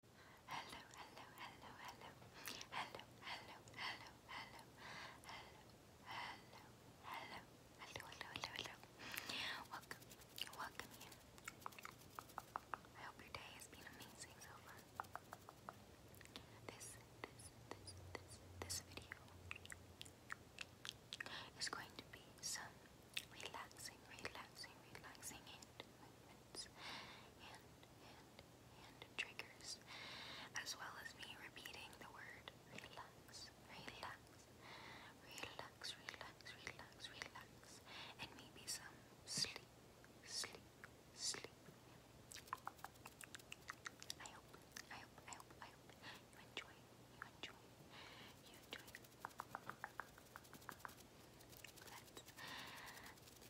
hello, hello, hello, hello, hello, hello, hello, hello, hello, hello, hello, hello, hello, hello. Welcome, welcome I hope your day has been amazing so far. This, this, this, this, this video is going to be some relaxing, relaxing, relaxing hand movements and hand triggers, as well as me repeating the word relax, relax, relax, relax, relax, relax, and maybe some sleep, sleep, sleep. I hope, I hope, I hope, I hope you enjoy, you enjoy, you enjoy.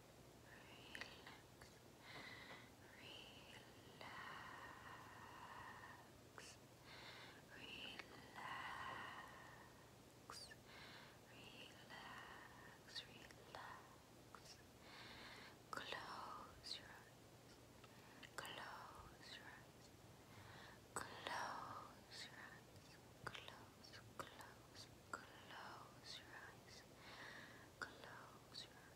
relax, relax. Close your eyes, close your eyes, close your eyes, close, close, close your eyes, close your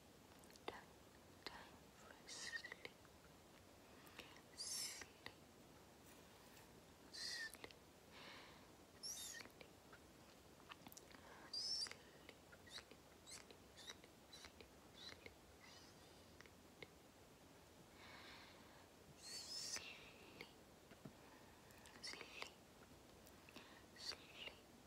time, time for sleep, sleep, sleep, sleep, sleep, sleep, sleep, sleep, sleep, sleep, sleep, sleep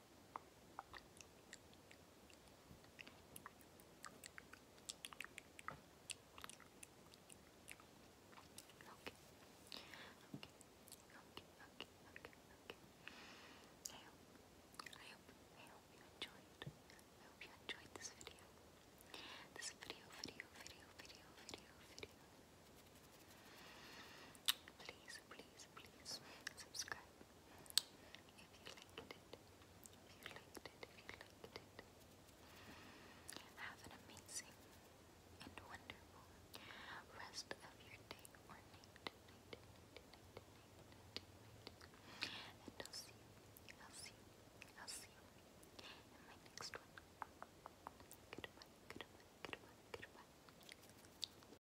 okay, okay, okay. I hope, I hope, I hope you enjoyed. I hope you enjoyed this video. This video, video, video, video, video, video. Please, please, please subscribe if you liked it, if you liked it. Have an amazing and wonderful rest of your day or And I'll see you, I'll see you, I'll see you in my next one. Goodbye, goodbye, goodbye, goodbye.